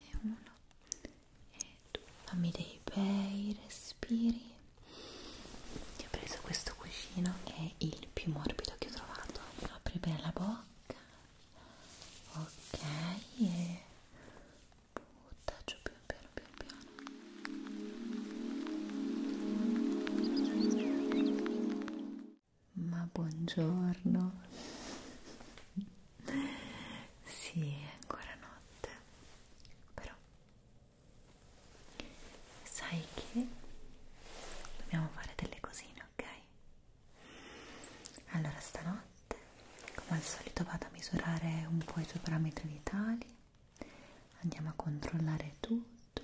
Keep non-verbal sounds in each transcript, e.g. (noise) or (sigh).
e uno e due fammi dei bei respiri ti ho preso questo cuscino che è il più morbido che ho trovato apri bene la bocca ok e butta giù piano piano piano piano ma buongiorno sì, è ancora notte, però sai che dobbiamo fare delle cosine, ok? Allora stanotte, come al solito, vado a misurare un po' i tuoi parametri vitali, andiamo a controllare tutto,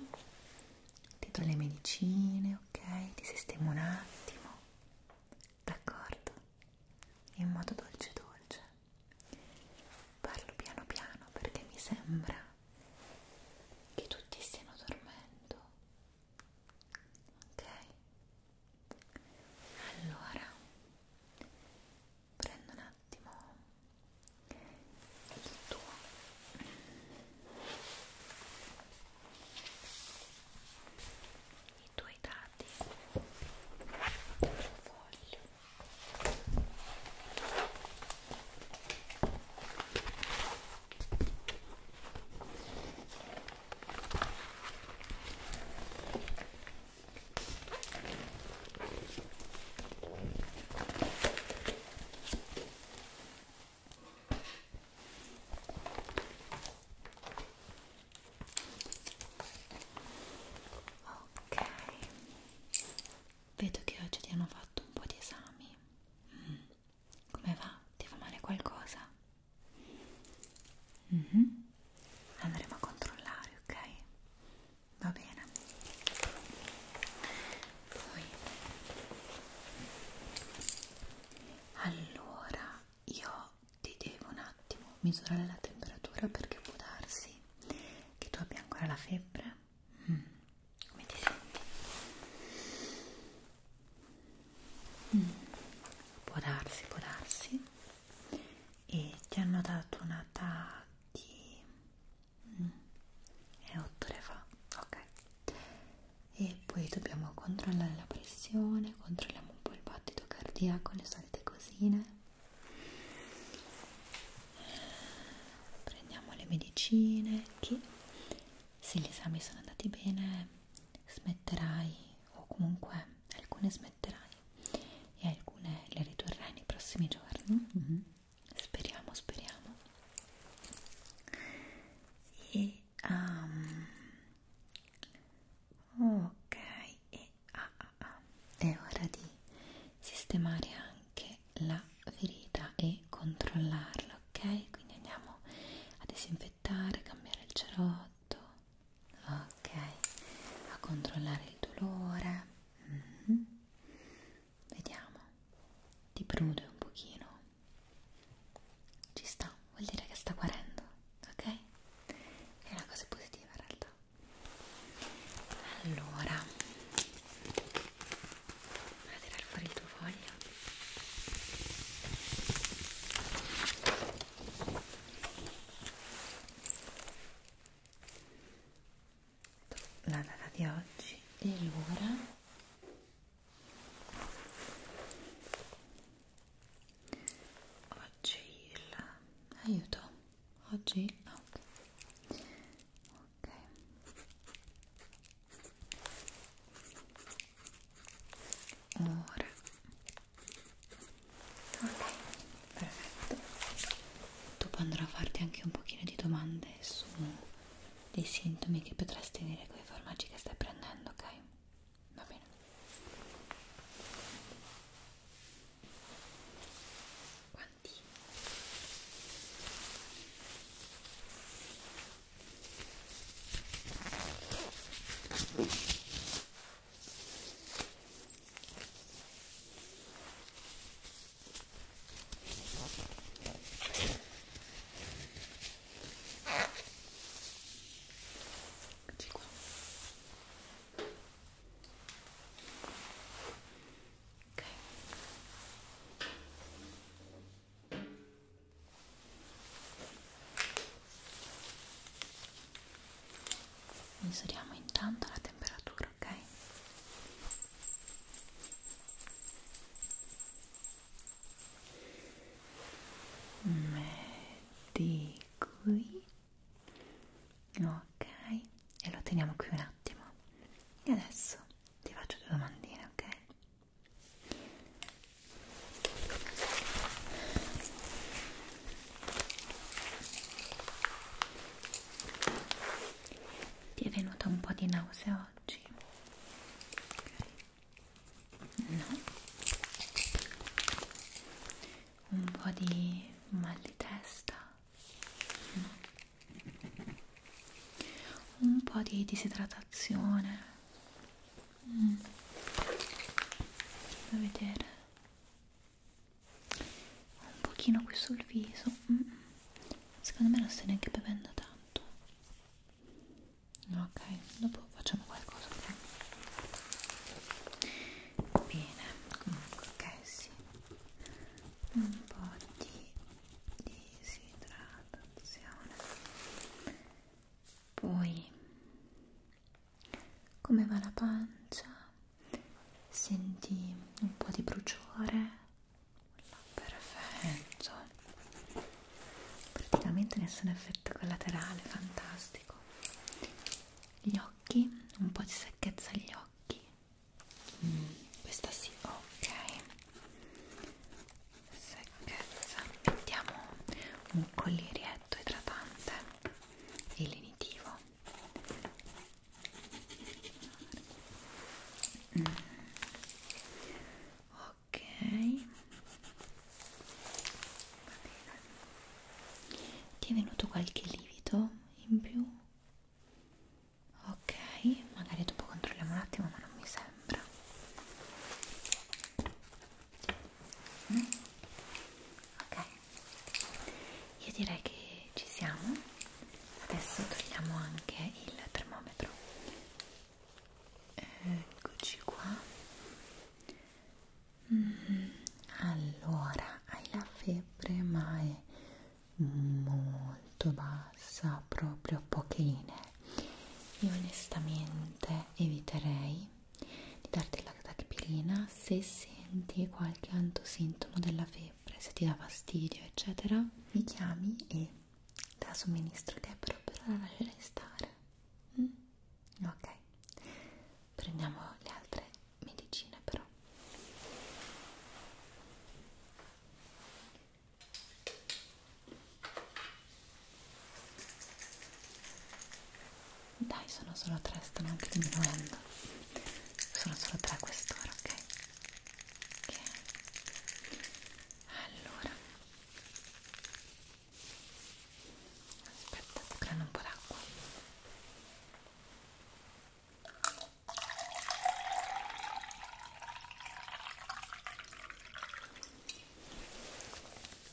ti do le medicine, ok? Ti sistemo un attimo, d'accordo? in modo dolce dolce parlo piano piano perché mi sembra che tutti stiano dormendo ok allora prendo un attimo il tuo i tuoi dati sul foglio ok vedo che oggi ti hanno fatto un po' di esami mm. come va? ti fa male qualcosa? Mm -hmm. andremo a controllare ok? va bene poi allora io ti devo un attimo misurare la temperatura perché può darsi che tu abbia ancora la febbre mm. come ti senti? Mm. può darsi, può darsi e ti hanno dato una data di... Mm. è 8 ore fa, ok e poi dobbiamo controllare la pressione, controlliamo un po' il battito cardiaco, le solite cosine prendiamo le medicine che se gli esami sono andati bene smetterai o comunque alcune smetterai e alcune le ridurrai nei prossimi giorni mm -hmm. speriamo speriamo e um, ok e ah, ah, ah. è ora di sistemare anche la ferita e controllarla ok quindi andiamo a disinfettare cambiare il cerotto ok a controllare il dolore mm -hmm. vediamo ti prude un pochino ci sta vuol dire che sta guarendo, ok? È una cosa positiva in realtà. Allora, vai a tirare fuori il tuo foglio. La data di oggi e l'ora oggi il aiuto oggi ok ok ora ok perfetto dopo andrò a farti anche un pochino di domande su dei sintomi che potresti tenere con i farmaci che stai prendendo ok va bene quanti? Eccoci qua. Ok. Misuriamo intanto la temperatura, ok? Metti qui ok e lo teniamo qui un attimo e adesso ti faccio due domandine ok ti è venuta un po' di nausea oggi? Okay. No? un po' di mal di testa, un po' di disidratazione. Mm. Fammi vedere un pochino qui sul viso. Mm. Secondo me non stai neanche bevendo tanto. Ok, dopo facciamo qualcosa. Okay? bene comunque ok sì un po' di disidratazione poi come va la pancia senti un po' di bruciore perfetto praticamente nessun effetto collaterale fantastico gli occhi occhi, un po' di secchezza agli occhi. Mm, questa sì, ok. Secchezza. Mettiamo un collierietto idratante e lenitivo. Mm. Ok. Va bene. Ti è venuto qualche livido in più? Ok, magari dopo controlliamo un attimo, ma non mi sembra. Mm. Ok, io direi che ci siamo. Adesso togliamo anche il termometro. Eh, eccoci qua. Mm, allora, hai la febbre ma è molto bassa, proprio pochine. Io onestamente eviterei di darti la tachipirina se senti qualche altro sintomo della febbre, se ti dà fastidio, eccetera. Mi chiami e te la somministro che però per ora lascerai stare. Mm? Ok, prendiamo le altre medicine però dai sono solo tre stanno anche diminuendo sono solo tre a quest'ora ok, okay. allora aspetta prendo un po' d'acqua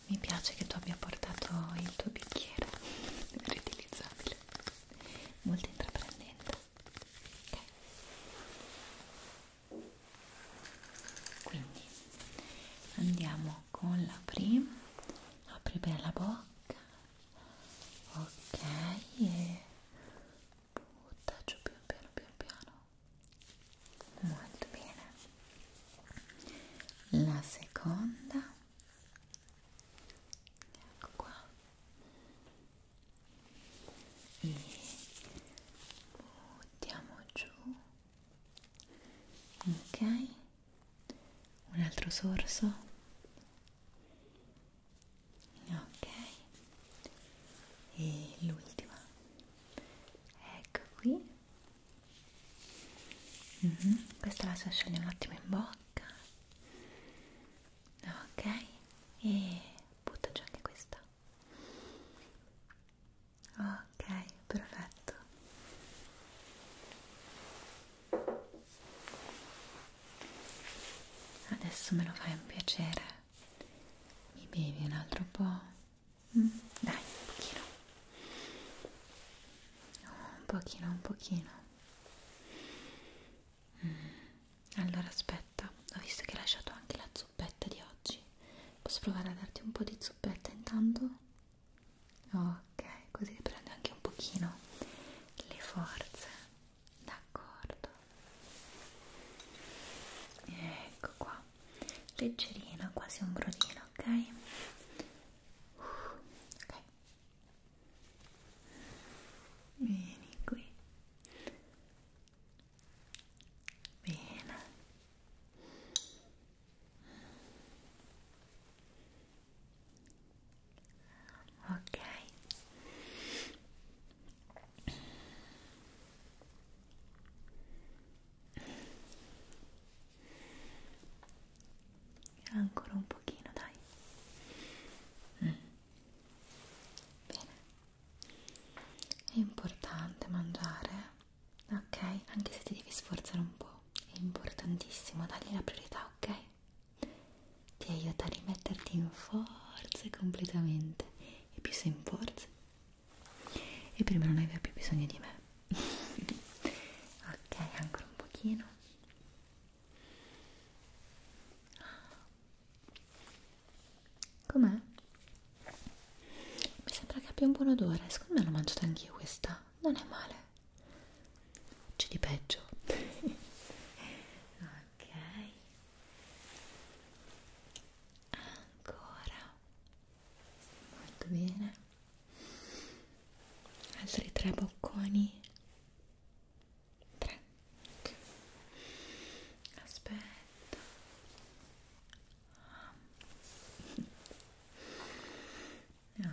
mi piace che tu abbia portato il tuo bicchiere (laughs) riutilizzabile, molto intraprendente. Okay. Quindi andiamo con la prima, apri bene la bocca ok e buttaggio pian piano pian piano molto bene la seconda ecco qua e buttiamo giù ok un altro sorso ok e l'ultima ecco qui mm -hmm. questa la lasciare un attimo in bocca ok e butto giù anche questa ok perfetto Adesso me lo fai un piacere. Mi bevi un altro po'? Mm? Dai, un pochino. Oh, un pochino, un pochino. Mm. Allora aspetta, ho visto che hai lasciato anche la zuppetta di oggi. Posso provare a darti un po' di zuppetta intanto? ok così riprende anche un pochino le forze d'accordo ecco qua leggerino quasi un brodino ok uh, ok vieni qui Bene ok ancora un pochino dai mm. bene è importante mangiare ok anche se ti devi sforzare un po' è importantissimo dargli la priorità ok ti aiuta a rimetterti in forze completamente e più sei in forze e prima non aveva più bisogno di me (laughs) ok ancora un pochino com'è? mi sembra che abbia un buon odore secondo me l'ho mangiata anch'io questa non è male c'è di peggio. (laughs) ok. Ancora. Molto bene. Altri tre bocconi. Tre. Okay. Aspetta. Ah ok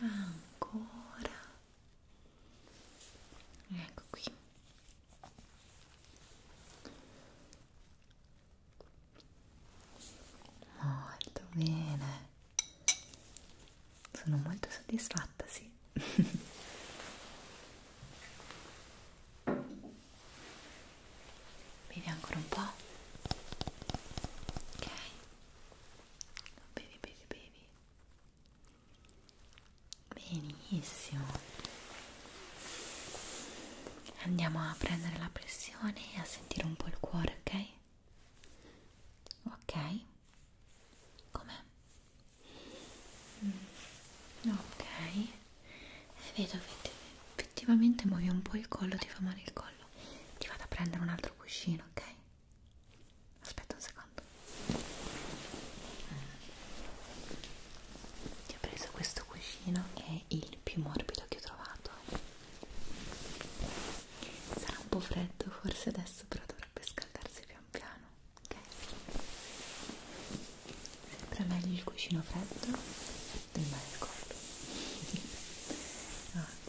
ancora ecco qui molto bene sono molto soddisfatta sì (laughs) bevi ancora un po' ok bevi bevi bevi bevi? Benissimo. Andiamo a prendere la pressione e a sentire un po' il cuore, ok? Ok. Com'è? Mm. Ok. Vedo che effettivamente muovi un po' il collo, ti fa male il collo. Ti vado a prendere un altro cuscino, ok? aspetta un secondo ti ho preso questo cuscino è il più morbido che ho trovato sarà un po' freddo forse adesso però dovrebbe scaldarsi pian piano ok sempre meglio il cuscino freddo del mare al collo ok (laughs) ah,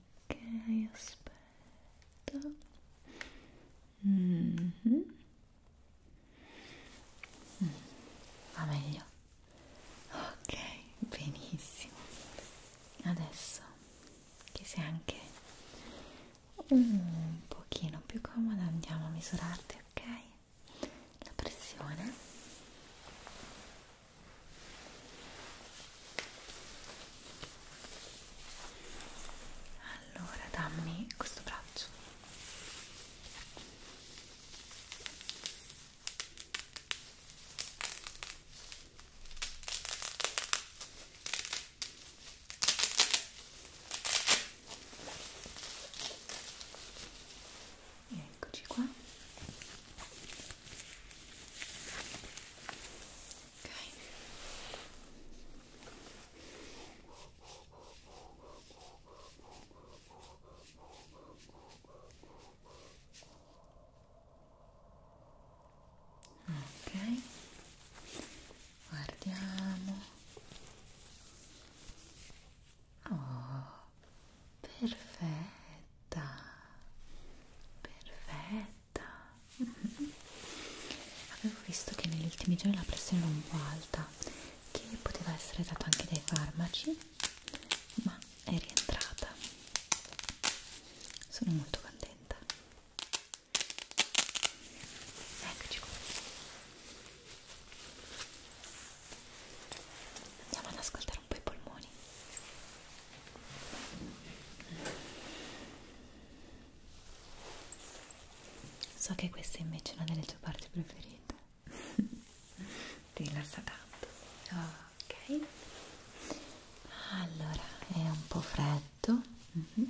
ok aspetta mm -hmm. mm, va meglio ok benissimo adesso che sei anche un pochino più comoda andiamo a misurarti ok la pressione allora dammi questo braccio. Eccoci qua ok ok guardiamo oh perfetta perfetta cotta (laughs) avevo visto che negli ultimi giorni la pressione era un po' alta che poteva essere data anche dai farmaci ma è rientrata sono molto contenta eccoci qua andiamo ad ascoltare un po' i polmoni So che questa invece è una delle tue parti preferite. (laughs) Ti rilassa tanto. Ok. Allora, è un po' freddo. Mm -hmm.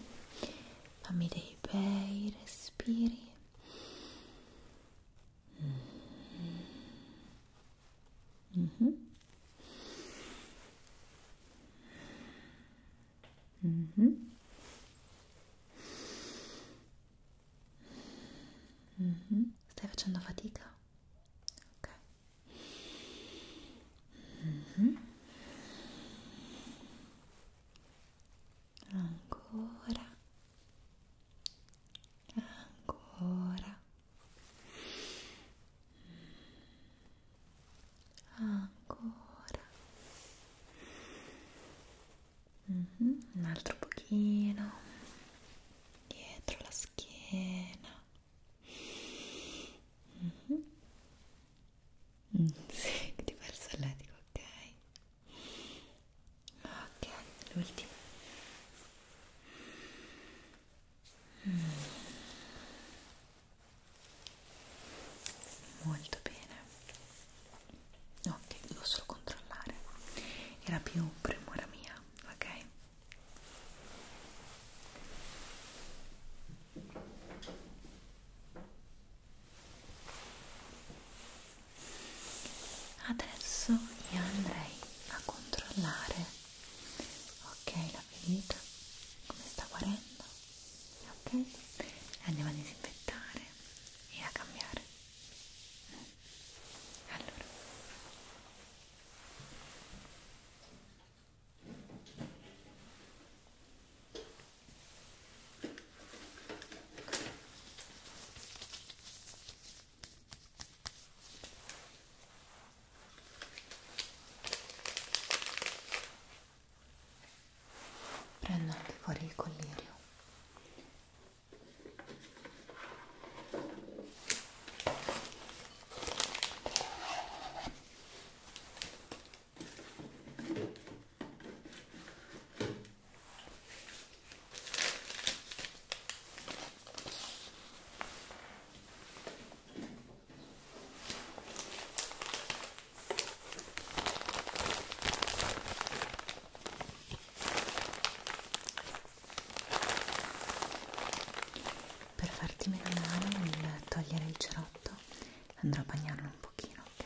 Fammi dei bei respiri. Mm -hmm. Mm -hmm. Mm -hmm. Stai facendo fatica? Ok. Mm -hmm. Ancora. Ancora ancora mm -hmm. un altro pochino dietro la schiena mhm. mm -hmm. (laughs) mm, sì, ti fa il solletico, ok ok, l'ultimo Mm molto bene ok devo solo controllare era più premura mia ok Adesso io andrei a controllare, ok, la ferita, come sta guarendo, ok? andiamo a disinfettare e a cambiare allora prendo anche fuori il collirio per farti meno male nel togliere il cerotto andrò a bagnarlo un pochino, ok?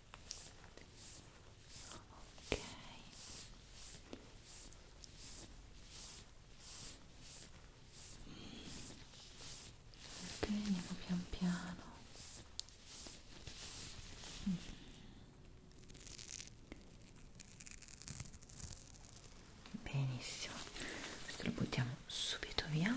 ok ok andiamo pian piano mm. benissimo questo lo buttiamo subito via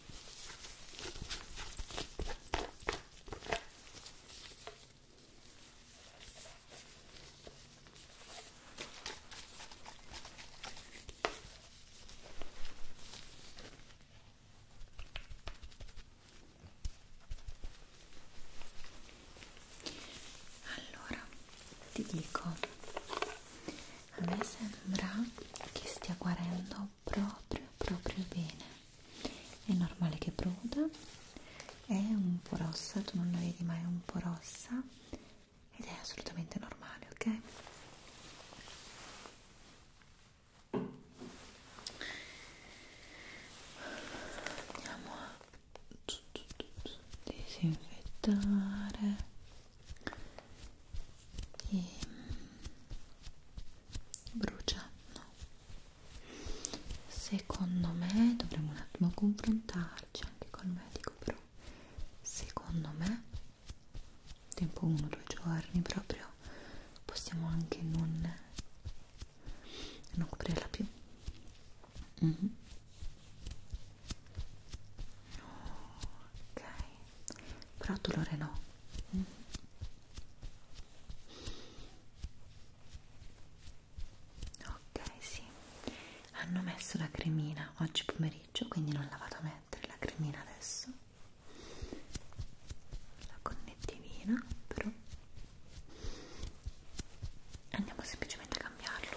Allora, ti dico, a me sembra che stia guarendo proprio proprio bene è normale che broda è un po' rossa, tu non la vedi ma è un po' rossa ed è assolutamente normale, ok? Andiamo a disinfettare e mm, brucia no secondo me dovremmo un attimo confrontarci anche col medico però secondo me tempo 1 due giorni proprio possiamo anche non non coprirla più mm -hmm. ok però dolore no Mm -hmm. Ok, sì, hanno messo la cremina oggi pomeriggio, quindi non la vado a mettere la cremina adesso. La connettivina, però andiamo semplicemente a cambiarlo.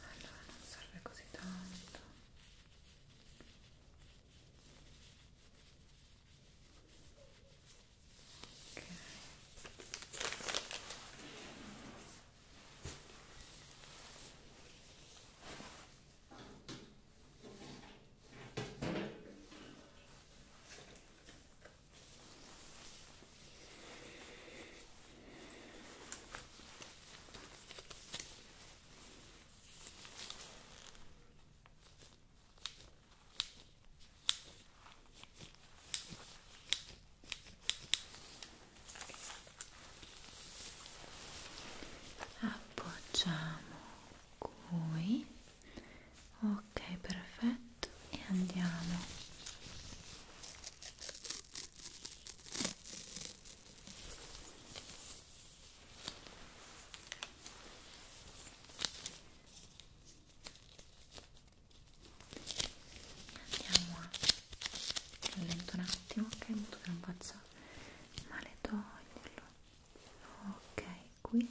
allora non serve così tanto ok appoggiamo qui ok perfetto e andiamo Andiamo a lento un attimo, ok, molto che non faccia male toglierlo. Ok, qui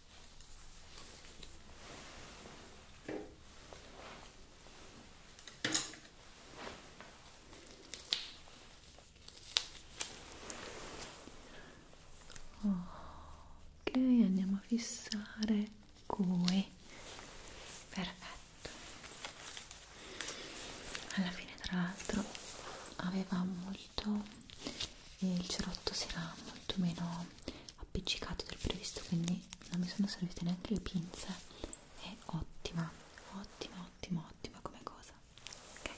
ok andiamo a fissare qui perfetto alla fine tra l'altro aveva molto il cerotto si era molto meno appiccicato del previsto quindi non mi sono servite neanche le pinze è ottima ottima ottima ottima come cosa ok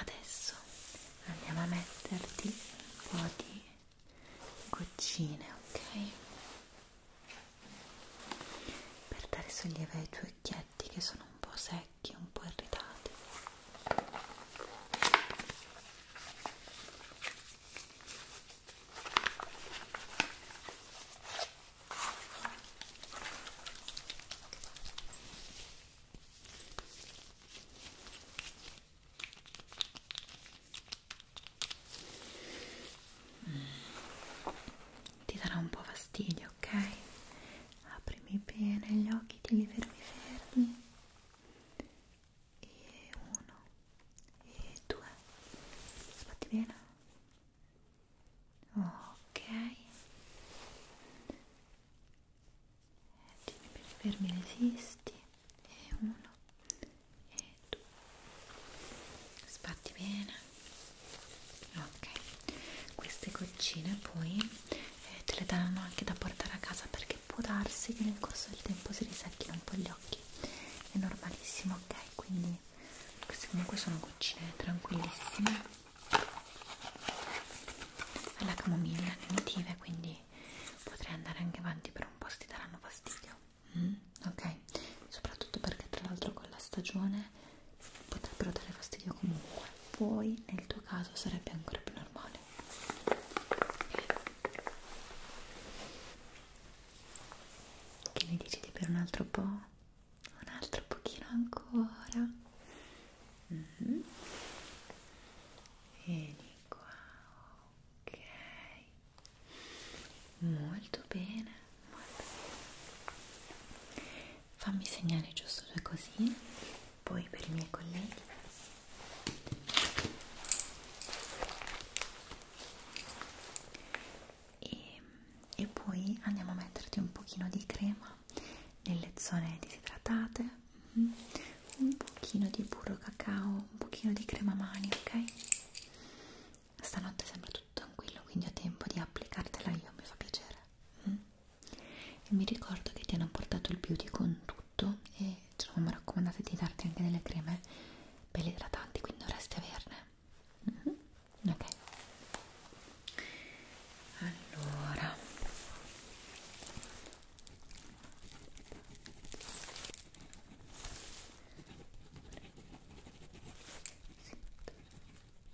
adesso andiamo a metterti un po' di goccine ok per dare sollievo ai tuoi due occhietti che sono un po' secchi, un po' irritati. Mm ti darà un po' fastidio, ok? Aprimi bene gli occhi, ti li fermi fermi e uno e due sbatti bene ok tieni bene fermi resisti e uno e due sbatti bene ok queste goccine poi eh, te le danno anche da portare a casa perché può darsi che nel corso del tempo si risecchino un po' gli occhi è normalissimo ok quindi queste comunque sono goccine tranquillissime alla camomilla nutritive quindi potrei andare anche avanti per un po' se ti daranno fastidio mm? ok soprattutto perché tra l'altro con la stagione potrebbero dare fastidio comunque poi nel tuo caso sarebbe ancora più normale che ne dici di per un altro po' un altro pochino ancora mm -hmm. vieni qua ok molto bene Molto bene. Fammi segnare giusto due cosine, poi per i miei colleghi. E, e poi andiamo a metterti un pochino di crema nelle zone disidratate, mm-hmm. un pochino di burro cacao, un pochino di crema mani, ok? stanotte sembra tutto tranquillo quindi ho tempo di applicartela io mi fa piacere mm? e mi ricordo che ti hanno portato il beauty con tutto e ci hanno raccomandato di darti anche delle creme belle idratanti quindi dovresti averne mm -hmm. ok allora sì.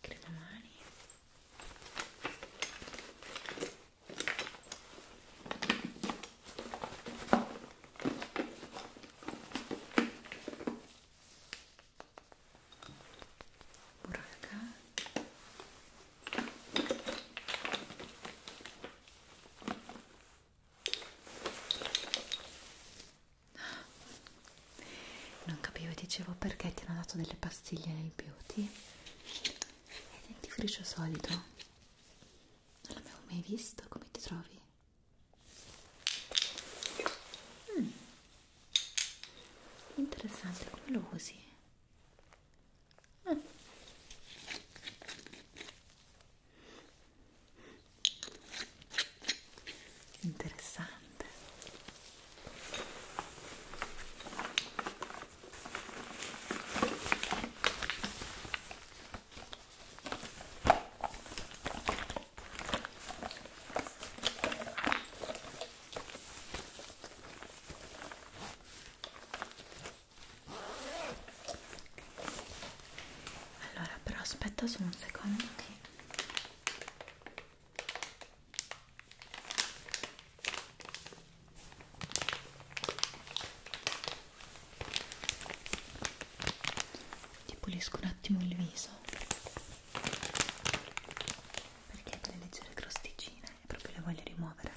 crema mani buraca non capivo, dicevo perché ti hanno dato delle pastiglie nel beauty e dentifricio solido non l'avevo mai visto, come ti trovi? Mm. interessante, come lo usi? Mm interessante allora però aspetta solo un secondo che ti pulisco un attimo il viso perché quelle leggere crosticine proprio le voglio rimuovere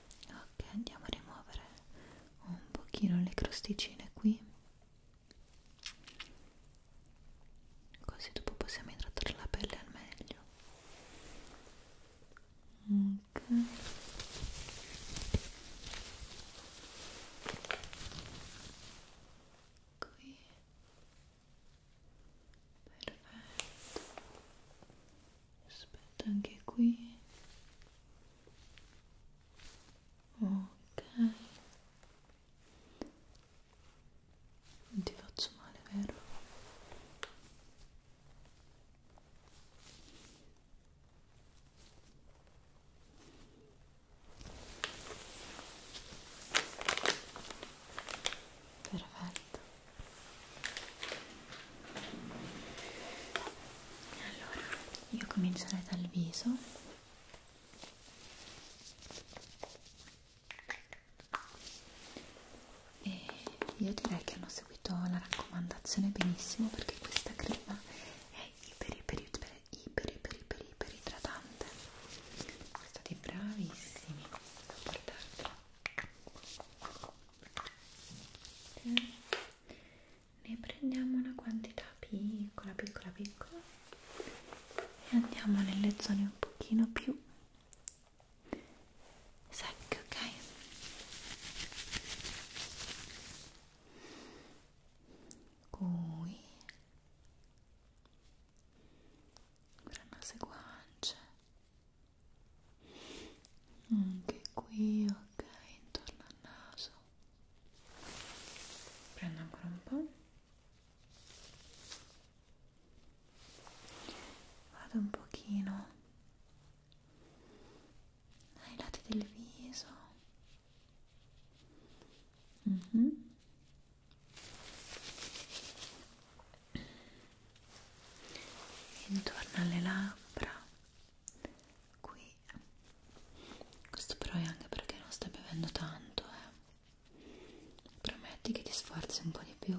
ok andiamo a rimuovere un pochino le crosticine qui così dopo possiamo idratare la pelle al meglio ok qui perfetto aspetta anche qui ok non ti faccio male vero perfetto allora, io comincerei dal viso. E io direi che hanno seguito la raccomandazione benissimo perché questa crema è iper iper iper iper iper iper, iper idratante. Siete stati bravissimi a portarla ok ne prendiamo una quantità piccola piccola piccola e andiamo nelle zone un pochino più secche ok qui ora nose guance anche qui ok intorno al naso prendo ancora un po' vado un pochino ai ah, lati del viso mm -hmm intorno alle labbra qui questo però è anche perché non stai bevendo tanto eh. prometti che ti sforzi un po' di più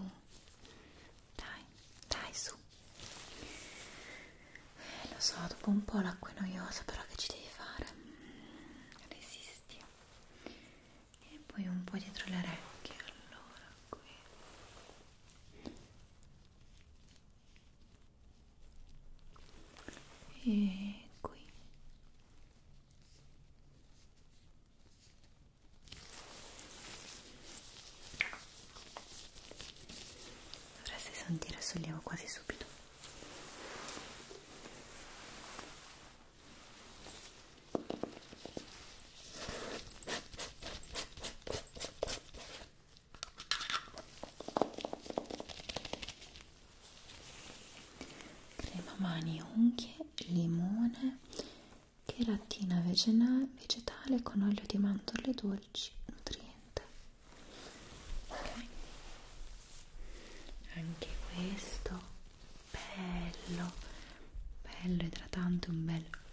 dai dai su eh, lo so dopo un po' l'acqua è noiosa però che ci devi fare mm, resisti e poi un po' dietro le orecchie allora qui e qui dovresti sentire sollievo quasi subito crema mani unghie, limone, cheratina vegetale con olio di mandorle dolci, nutriente. Okay. Anche questo bello, bello idratante, un bel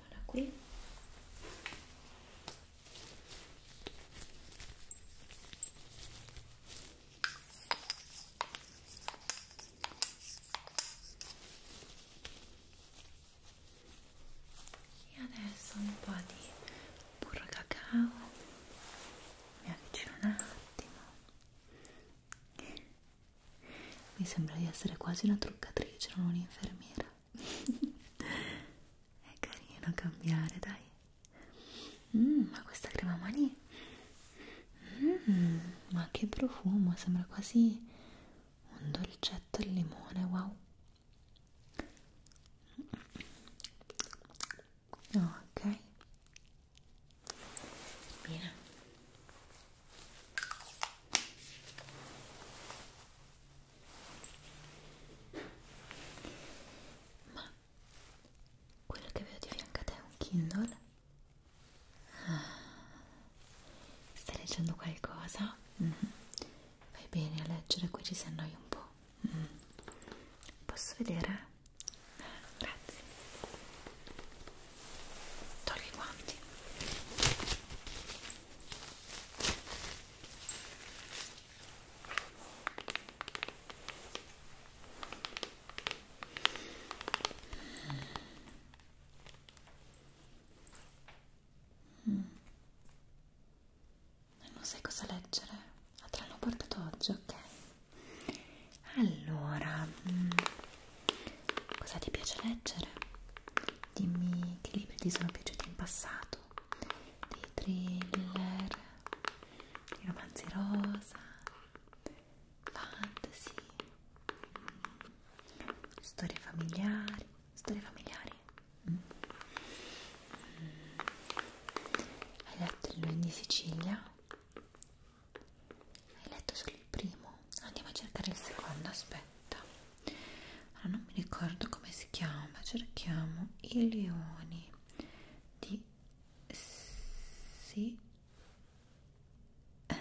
mettiamola qui e adesso un po' di burro cacao mi avvicino un attimo mi sembra di essere quasi una truccatrice, non un'infermiera. (laughs) È carino cambiare, dai. Mm, ma questa crema mani... Mm, ma che profumo, sembra quasi un dolcetto al limone, wow. Ok. Bene. Ma quello che vedo di fianco a te è un Kindle? Ah, stai leggendo qualcosa? Mm -hmm. Fai bene a leggere, qui ci si annoia un po'. Mm. Posso vedere? Eh, grazie. Togli i guanti. Mm. Non sai cosa leggere? Ah, te l'hanno portato oggi, ok? Allora, mm, cosa ti piace leggere? dimmi che libri ti sono piaciuti in passato, dei thriller, i romanzi rosa, fantasy, mm, storie familiari, storie familiari. Mm. Hai letto il Lune di Sicilia? Hai letto solo il primo? andiamo a cercare il secondo aspetta allora non mi ricordo come si chiama cerchiamo i leoni di sì eh,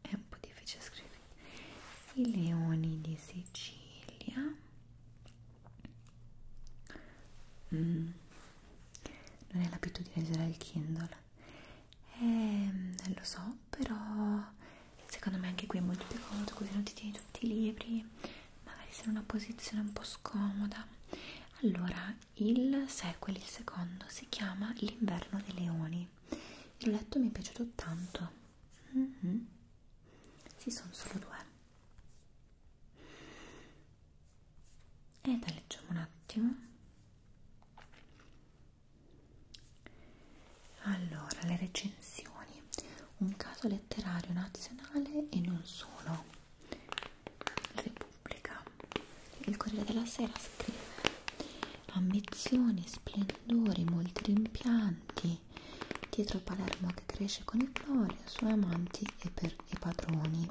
è un po' difficile scrivere i leoni di Sicilia mm. non è l'abitudine di leggere il Kindle eh, lo so però secondo me anche qui è molto più comodo così non ti tieni tutti i libri magari sei in una posizione un po' scomoda allora il sequel, il secondo si chiama l'inverno dei leoni l'ho letto mi è piaciuto tanto mm -hmm. si sì, sono solo due e da leggiamo un attimo allora, le recensioni, un caso letterario nazionale e non solo. Repubblica. Il Corriere della Sera scrive ambizioni, splendori, molti rimpianti. Dietro Palermo che cresce con i gloria, suoi amanti e, per, e padroni.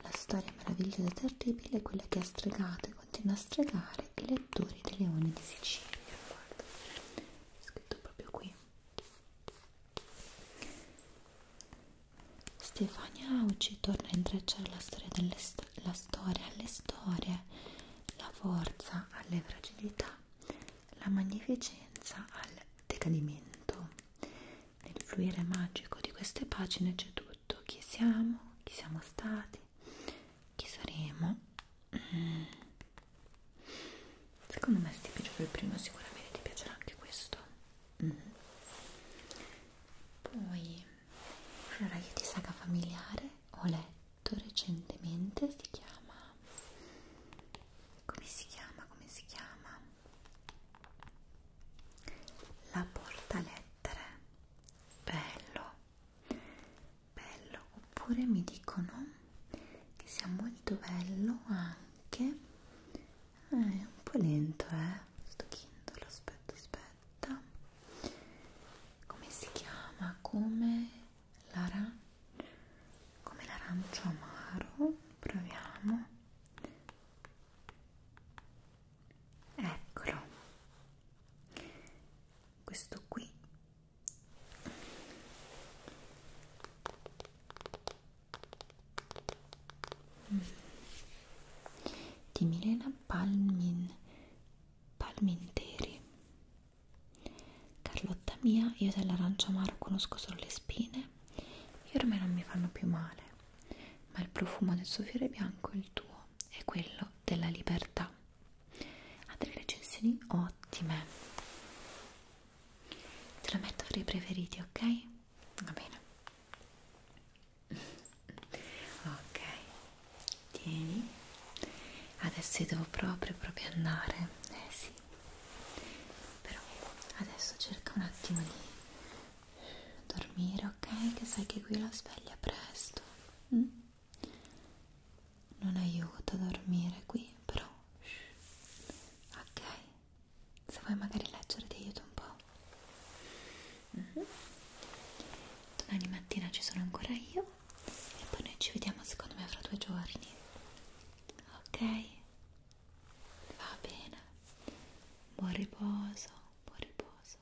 La storia meravigliosa e terribile è quella che ha stregato e continua a stregare i lettori dei leoni di Sicilia guarda, è scritto proprio qui Stefania Auci torna a intrecciare la storia, delle sto la storia alle storie la forza alle fragilità la magnificenza al decadimento nel fluire magico di queste pagine c'è tutto chi siamo, chi siamo stati chi saremo? Mm. secondo me se ti piace il primo sicuramente ti piacerà anche questo mm -hmm. poi allora io di saga familiare ho letto recentemente si chiama come si chiama come si chiama la portalettere bello bello oppure mi dicono che sia molto bello anche eh, è un po' lento eh sto kindle aspetta aspetta come si chiama come l'ara come l'arancio amaro proviamo eccolo questo qui di Milena Palmin Palminteri Carlotta mia io dell'arancio amaro conosco solo le spine e ormai non mi fanno più male ma il profumo del suo fiore bianco è il tuo è quello della libertà ha delle recensioni ottime te lo metto fra i preferiti ok? va bene ok tieni adesso io devo proprio proprio andare eh sì però adesso cerca un attimo di dormire ok che sai che qui la sveglia presto mm? non aiuta a dormire qui però shh. ok se vuoi magari leggere ti aiuto un po' mm -hmm. domani mattina ci sono ancora io e poi noi ci vediamo secondo me fra due giorni ok va bene buon riposo buon riposo